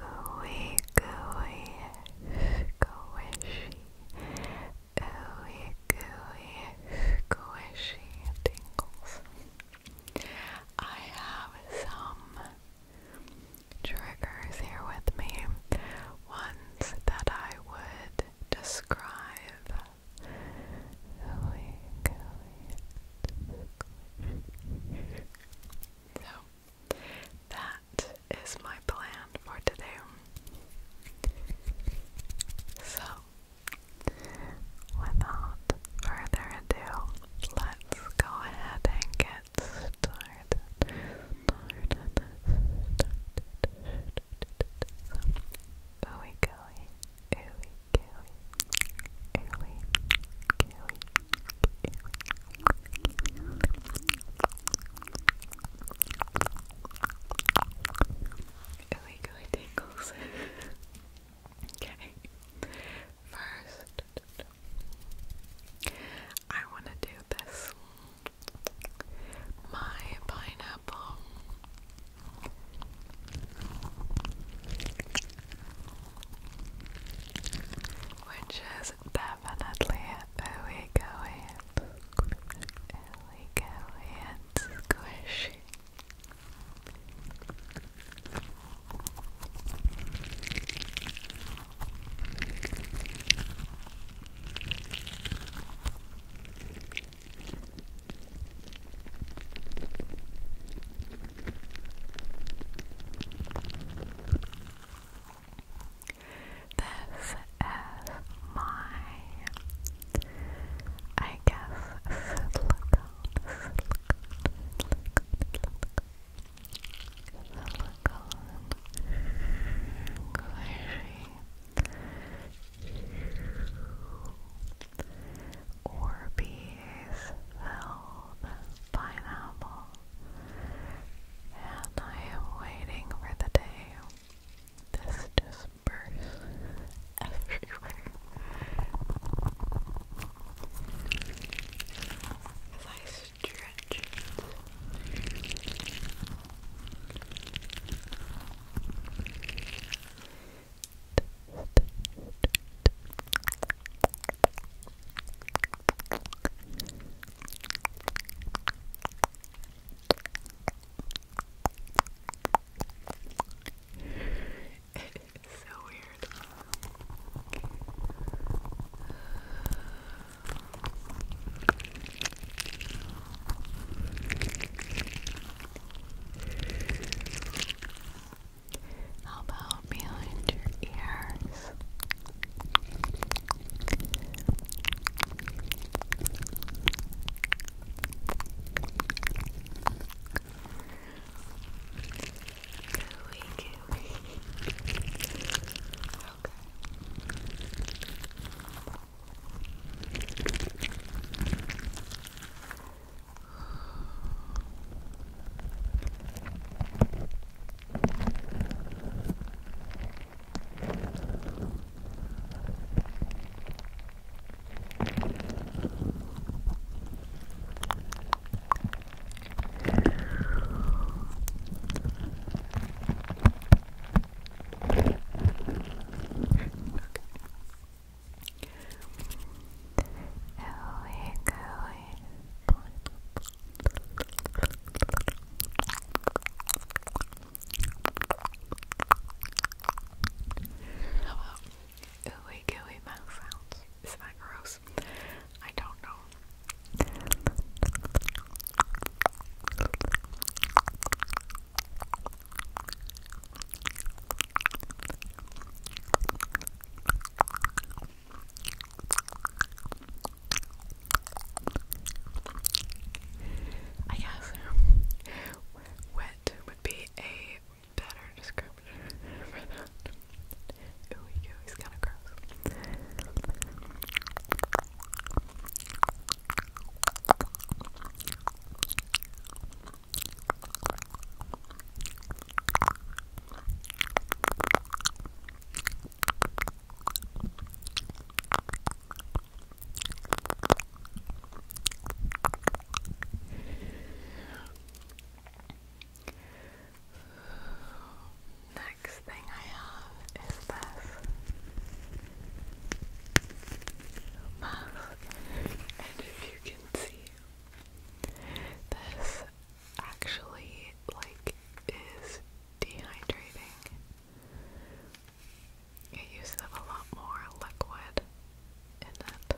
ooey gooey squishy, ooey gooey squishy tingles. I have some triggers here with me, ones that I would describe. Ooey gooey squishy. So, that is my plan for today. So, without further ado, let's go ahead and get started. started, started. Ooey gooey, ooey gooey, ooey gooey, Illegally tingles. okay. First, I want to do this. My pineapple. Which is definitely ooey-gooey ooey-gooey and squishy this is my, I guess, silicone, Orbeez filled pineapple and I am waiting for the day this just everywhere. As I stretch. It's so weird. How about behind your ears? Gooey, gooey. Okay. Oh, here goes how about ooey gooey mouth sounds? Is that gross? I don't know. I guess wet would be a better description Ooh, he's kind of gross. Next thing I have is this mask, and if you can see, this actually like is dehydrating. It used up a lot more liquid in it.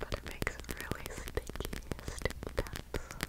But it makes really sticky, sticky cups.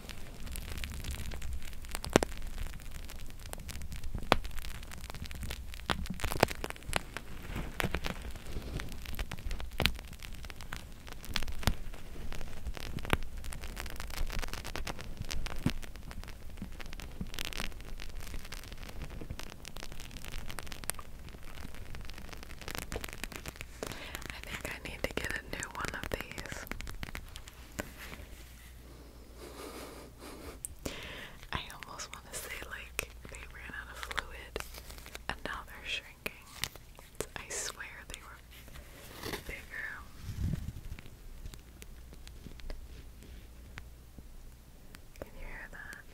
I think I need to get a new one of these. I almost want to say, like, they ran out of fluid and now they're shrinking. I swear they were bigger. Can you hear that?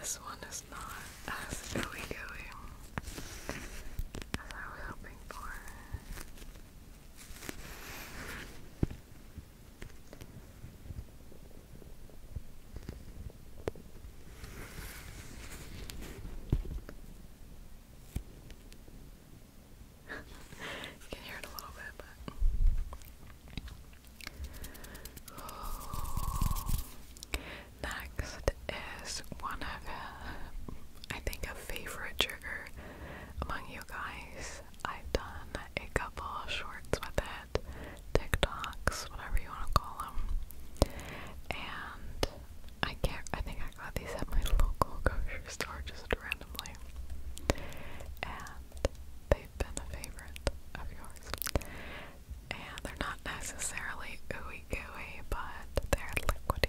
This one is not as gooey gooey as I was hoping for you can hear it a little bit, but. Next is one of, I think, a favorite trigger among you guys. I've done a couple shorts with it, TikToks, whatever you want to call them, and I can't. I think I got these at my local grocery store just randomly. And they've been a favorite of yours. And they're not necessarily ooey gooey, but they're liquidy.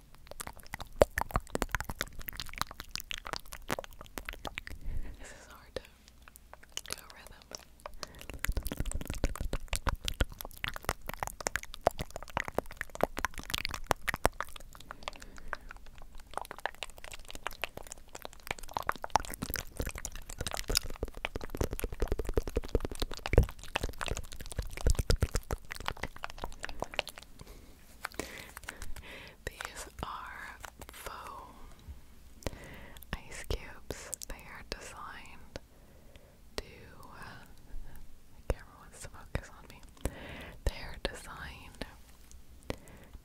This is hard to go rhythm. These are foam ice cubes. They are designed to. camera wants to focus on me. They are designed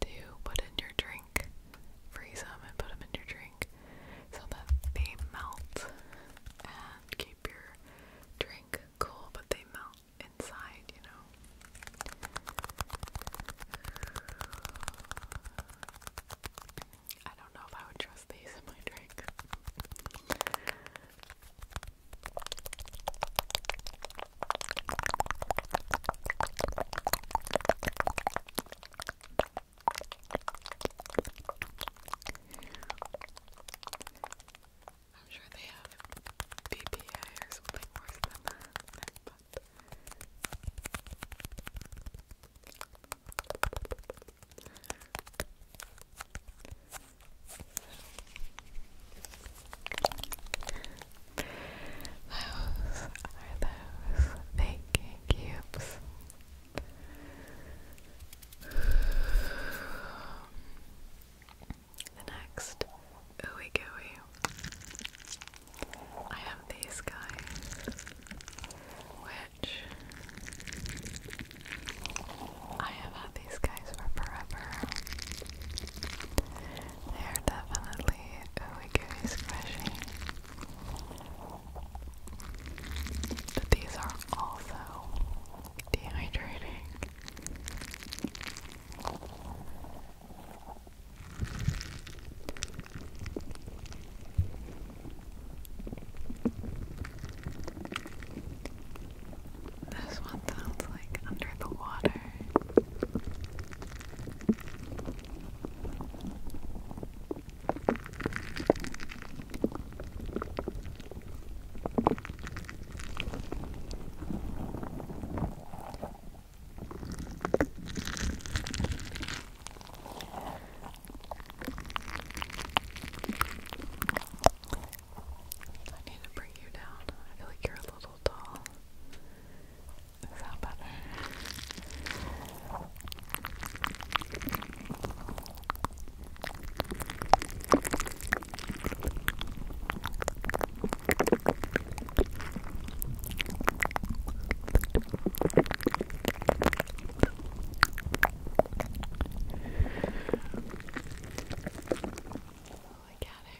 to put in your drink, freeze them, and put them in your drink so that they melt and keep your drink cool, but they melt inside, you know. I don't know if I would trust these in my drink. I'm sure they have BPA or something worse than that. those are those baking cubes. Um, the next ooey gooey. I have these guys, which I have had these guys for forever. They are definitely ooey gooey squishy. But these are also dehydrating. This one sounds like under the water. I need to bring you down. I feel like you're a little tall. Is that better? Look at her.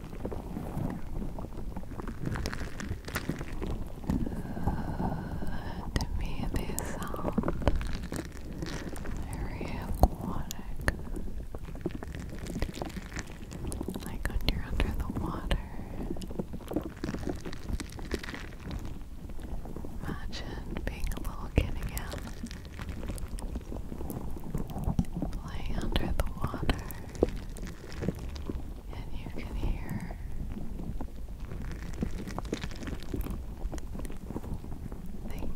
To me, they sound very aquatic. Like you're under the water. Imagine being a little kid Playing under the water and you can hear things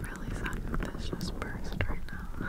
really suck if this just burst right now.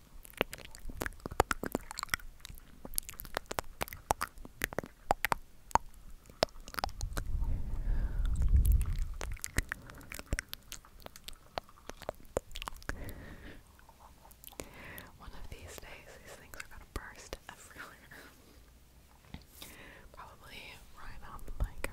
One of these days, these things are gonna burst everywhere. Probably right on the microphone.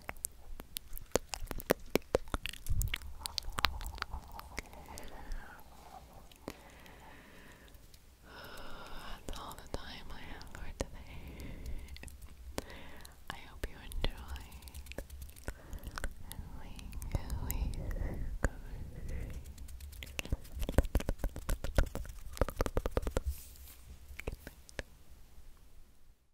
That's all the time I have for today. I hope you enjoyed. And we go Good night.